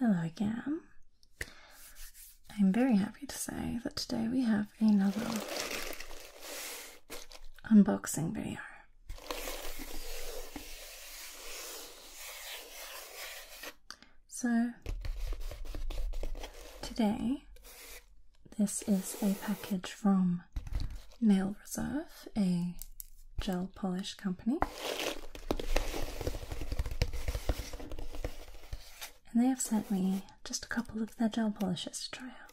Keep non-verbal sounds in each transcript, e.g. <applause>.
Hello again. I'm very happy to say that today we have another unboxing video. So today, this is a package from Nail Reserve, a gel polish company. And they have sent me just a couple of their gel polishes to try out.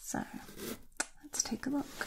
So let's take a look.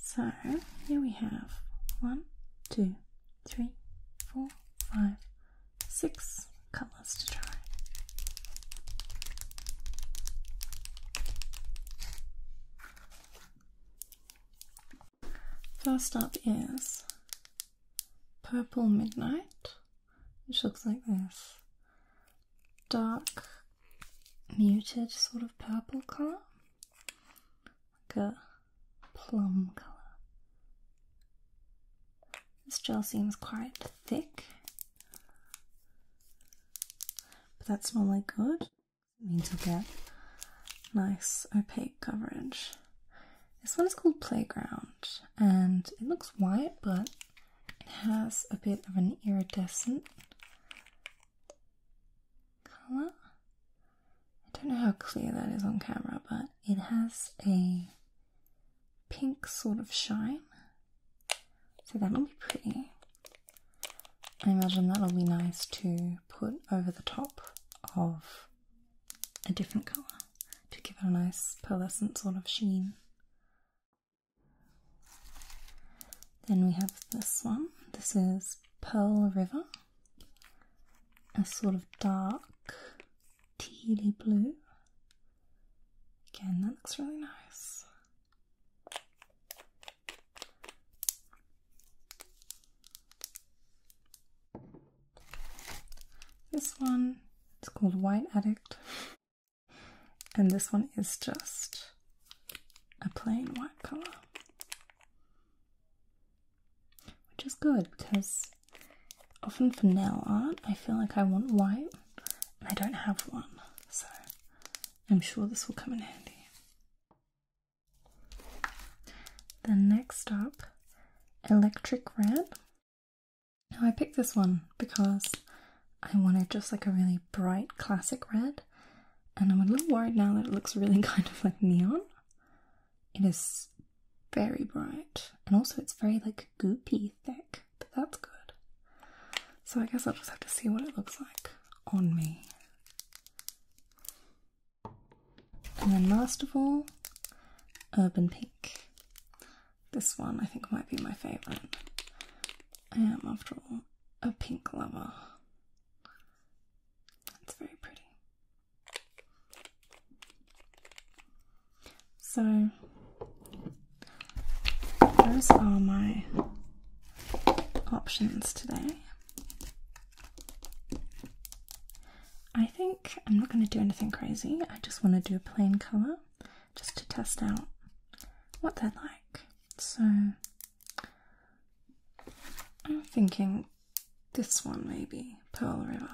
So here we have one, two, three, four, five, six colours to try. First up is Purple Midnight, which looks like this dark muted sort of purple colour, like a plum colour. This gel seems quite thick, but that's normally good. means you'll get nice opaque coverage. This one is called Playground and it looks white, but it has a bit of an iridescent color. I don't know how clear that is on camera, but it has a pink sort of shine. So that'll be pretty. I imagine that'll be nice to put over the top of a different colour to give it a nice pearlescent sort of sheen. Then we have this one. This is Pearl River, a sort of dark tealy blue. Again, that looks really nice. This one, it's called White Addict. And this one is just a plain white color. Which is good because often for nail art, I feel like I want white and I don't have one. So I'm sure this will come in handy. Then next up, Electric Red now I picked this one because I wanted just like a really bright classic red and I'm a little worried now that it looks really <laughs> kind of like neon. It is very bright and also it's very like goopy thick, but that's good. So I guess I'll just have to see what it looks like on me. And then last of all, Urban Pink. This one I think might be my favourite. I am, after all, a pink lover. It's very pretty. So, those are my options today. I think I'm not going to do anything crazy, I just want to do a plain colour just to test out what they're like. So I'm thinking this one maybe, Pearl River.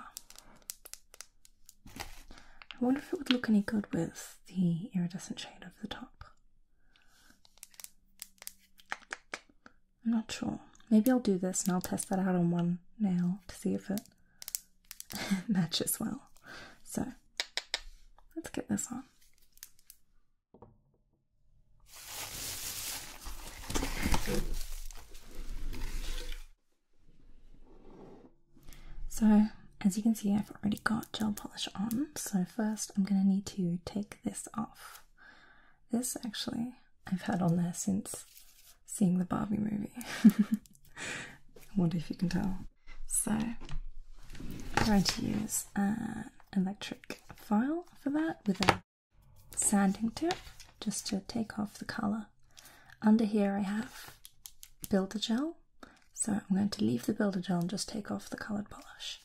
I wonder if it would look any good with the iridescent shade over the top. I'm not sure. Maybe I'll do this and I'll test that out on one nail to see if it <laughs> match as well. So let's get this on. So, as you can see, I've already got gel polish on. So, first, I'm going to need to take this off. This actually, I've had on there since seeing the Barbie movie. <laughs> I wonder if you can tell. So I'm going to use an uh, electric file for that with a sanding tip just to take off the colour. Under here I have builder gel, so I'm going to leave the builder gel and just take off the coloured polish.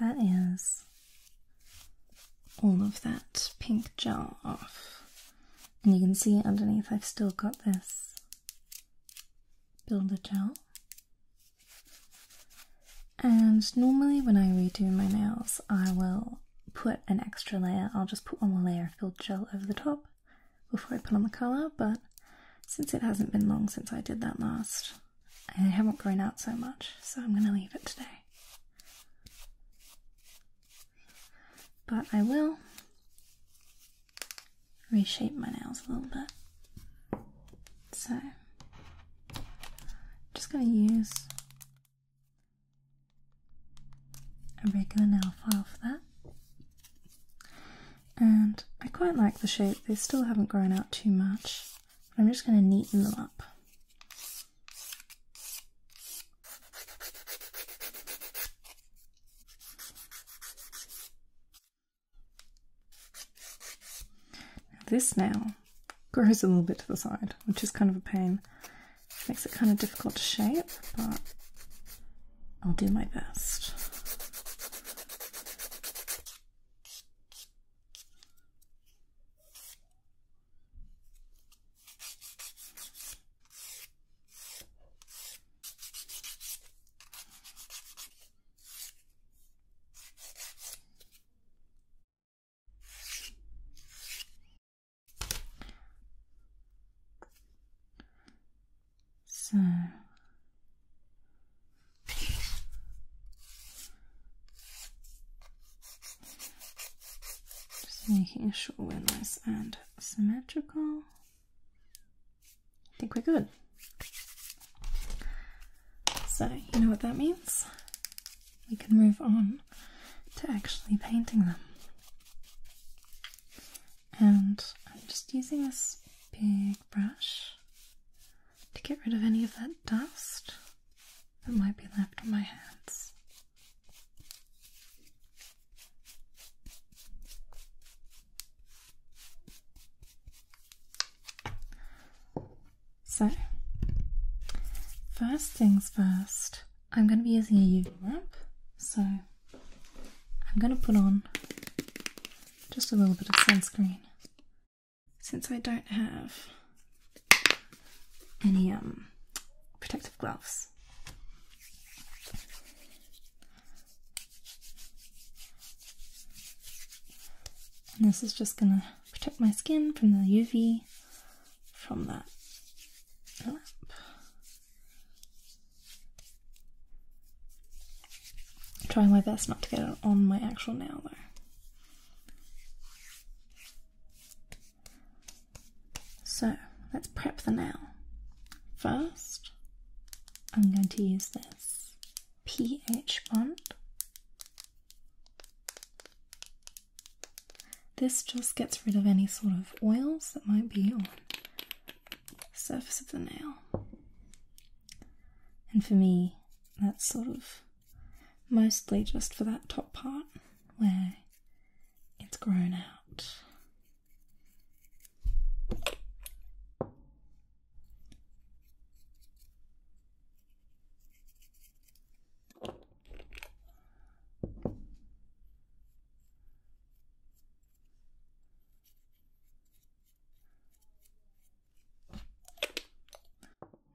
That is all of that pink gel off. And you can see underneath I've still got this builder gel and normally, when I redo my nails, I will put an extra layer. I'll just put one more layer of filled gel over the top before I put on the colour. But since it hasn't been long since I did that last, I haven't grown out so much, so I'm going to leave it today. But I will reshape my nails a little bit. So, I'm just going to use a regular nail file for that. And I quite like the shape, they still haven't grown out too much, I'm just going to neaten them up. This now grows a little bit to the side, which is kind of a pain. makes it kind of difficult to shape, but I'll do my best. So just making sure we're nice and symmetrical. I think we're good. So, you know what that means? We can move on to actually painting them. And I'm just using this big brush to get rid of any of that dust that might be left on my hands. So, first things first, I'm going to be using a UV wrap. So, I'm going to put on just a little bit of sunscreen since I don't have any um, protective gloves. And this is just going to protect my skin from the UV from that trying my best not to get it on my actual nail though. So let's prep the nail. First, I'm going to use this pH bond. This just gets rid of any sort of oils that might be on the surface of the nail. And for me, that's sort of mostly just for that top part where it's grown out.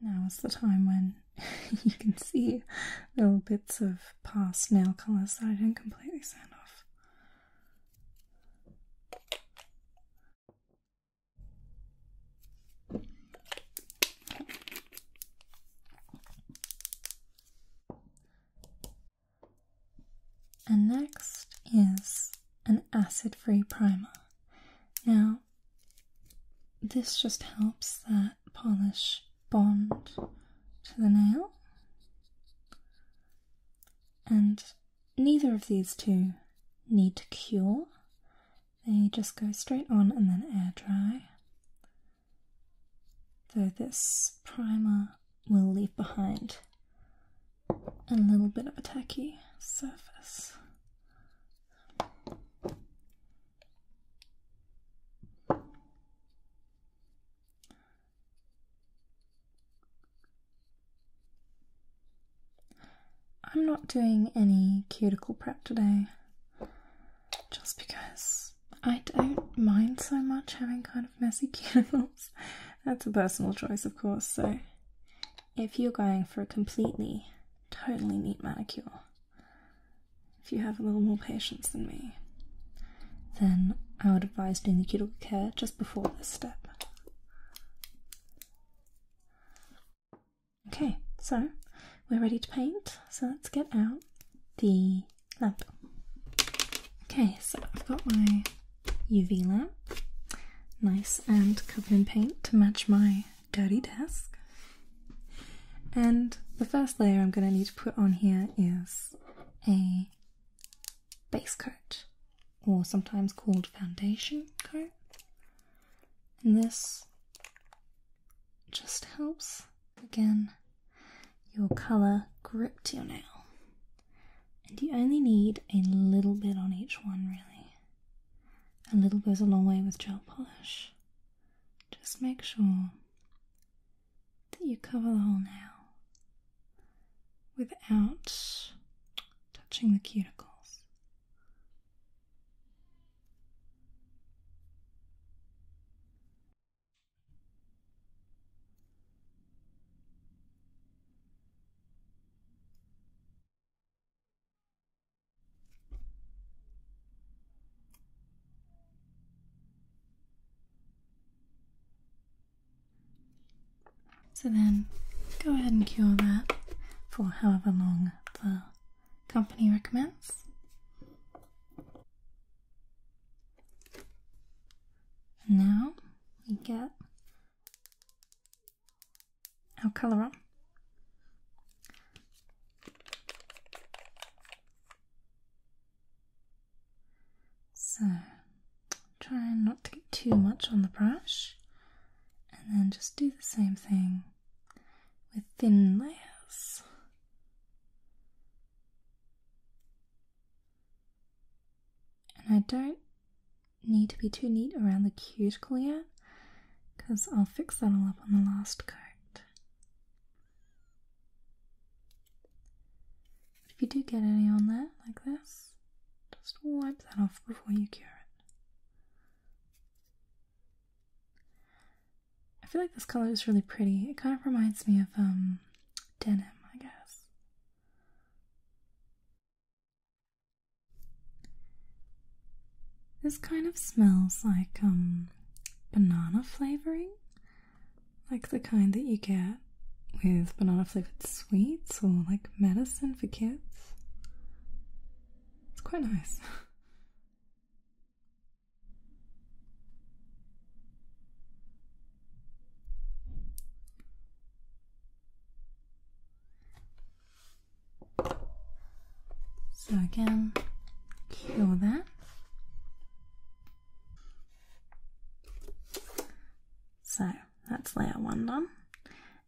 Now is the time when <laughs> you can see little bits of past nail colours that I didn't completely sand off. And next is an acid free primer. Now, this just helps that polish bond to the nail and neither of these two need to cure, they just go straight on and then air dry. Though this primer will leave behind a little bit of a tacky surface. I'm not doing any cuticle prep today just because I don't mind so much having kind of messy <laughs> cuticles. That's a personal choice, of course, so if you're going for a completely, totally neat manicure, if you have a little more patience than me, then I would advise doing the cuticle care just before this step. Okay, so we're ready to paint, so let's get out the lamp. Okay, so I've got my UV lamp, nice and covered in paint to match my dirty desk. And the first layer I'm going to need to put on here is a base coat, or sometimes called foundation coat. And this just helps, again, your colour grip to your nail. And you only need a little bit on each one, really. A little goes a long way with gel polish. Just make sure that you cover the hole now without touching the cuticles. So then go ahead and cure that for however long the company recommends. now we get our colour on. So try not to get too much on the brush and then just do the same thing with thin layers. And I don't need to be too neat around the cuticle yet because I'll fix that all up on the last coat. But if you do get any on there, like this, just wipe that off before you cure it. I feel like this color is really pretty. It kind of reminds me of um, denim, I guess. This kind of smells like um, banana flavoring like the kind that you get with banana flavored sweets or like medicine for kids. It's quite nice. <laughs> So again, cure that. So that's layer one done.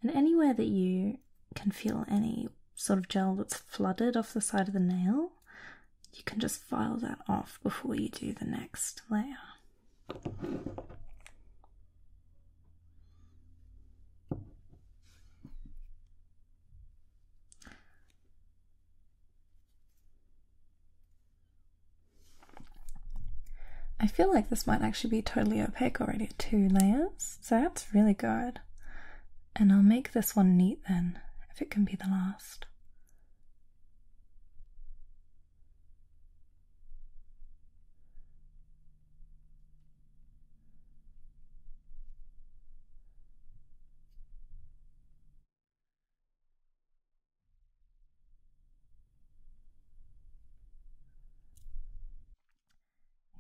And anywhere that you can feel any sort of gel that's flooded off the side of the nail, you can just file that off before you do the next layer. I feel like this might actually be totally opaque already at two layers, so that's really good. And I'll make this one neat then, if it can be the last.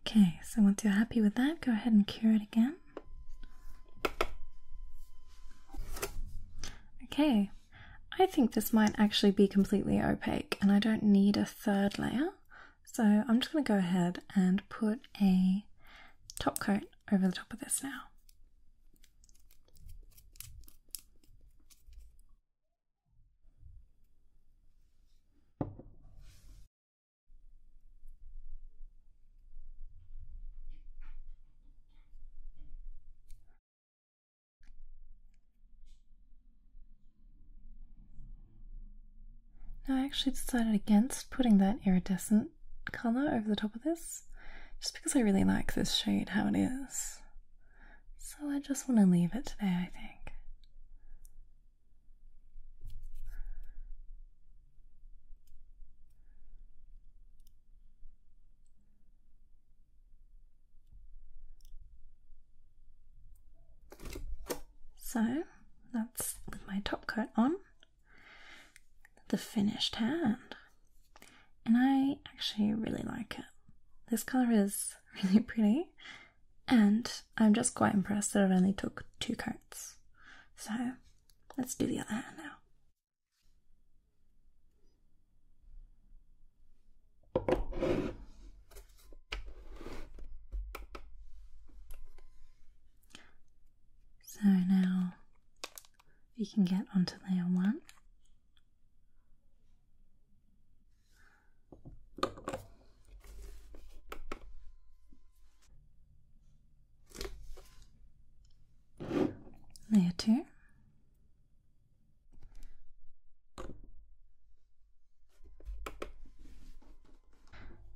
Okay, so once you're happy with that, go ahead and cure it again. Okay, I think this might actually be completely opaque and I don't need a third layer. So I'm just going to go ahead and put a top coat over the top of this now. Now, I actually decided against putting that iridescent colour over the top of this just because I really like this shade how it is. So I just want to leave it today, I think. So that's with my top coat on the finished hand. And I actually really like it. This color is <laughs> really pretty, and I'm just quite impressed that it only took two coats. So let's do the other hand now. So now we can get onto layer one. Layer two.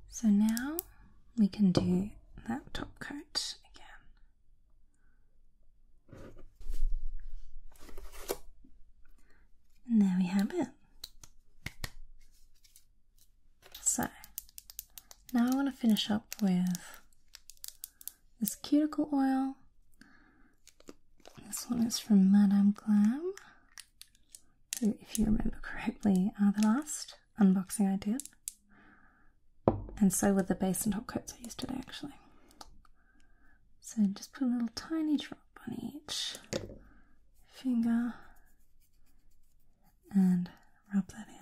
So now we can do now top coat again. And there we have it. So, now I want to finish up with this cuticle oil. This one is from Madame Glam, if you remember correctly, uh, the last unboxing I did. And so were the base and top coats I used today, actually. So just put a little tiny drop on each finger and rub that in.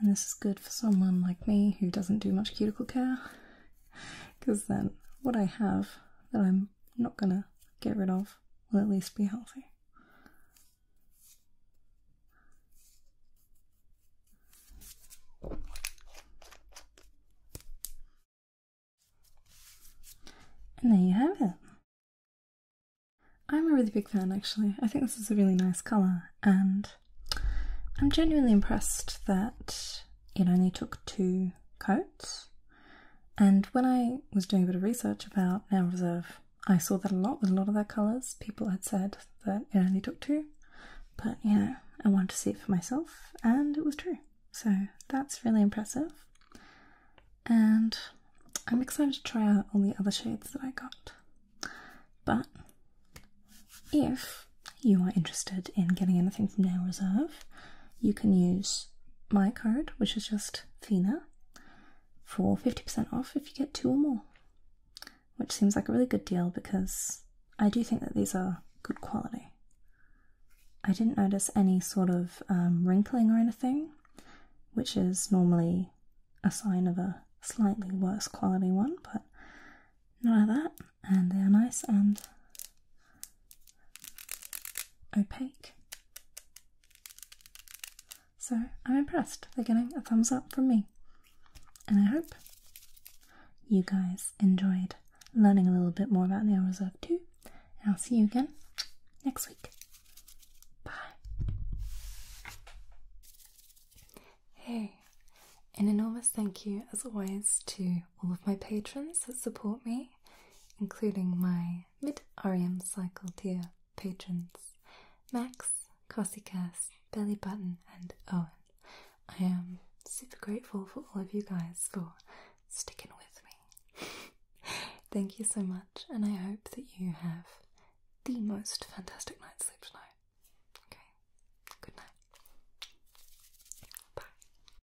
And this is good for someone like me who doesn't do much cuticle care, because then what I have that I'm not gonna get rid of will at least be healthy. And there you have it. I'm a really big fan actually. I think this is a really nice colour and I'm genuinely impressed that it only took two coats. And when I was doing a bit of research about Now Reserve, I saw that a lot with a lot of their colours. People had said that it only took two. But you know, I wanted to see it for myself, and it was true. So that's really impressive. And I'm excited to try out all the other shades that I got. But if you are interested in getting anything from Nail Reserve, you can use my code, which is just Fina, for 50% off if you get two or more. Which seems like a really good deal because I do think that these are good quality. I didn't notice any sort of um, wrinkling or anything, which is normally a sign of a slightly worse quality one, but none of that. And they are nice and opaque. So I'm impressed. They're getting a thumbs up from me. And I hope you guys enjoyed learning a little bit more about the Nail Reserve 2. And I'll see you again next week. Bye. Hey, an enormous thank you, as always, to all of my patrons that support me, including my mid REM cycle tier patrons Max, Cossicast, Belly Button, and Owen. I am super grateful for all of you guys for sticking with me. <laughs> Thank you so much, and I hope that you have the most fantastic night's sleep tonight. Okay, good night. Bye.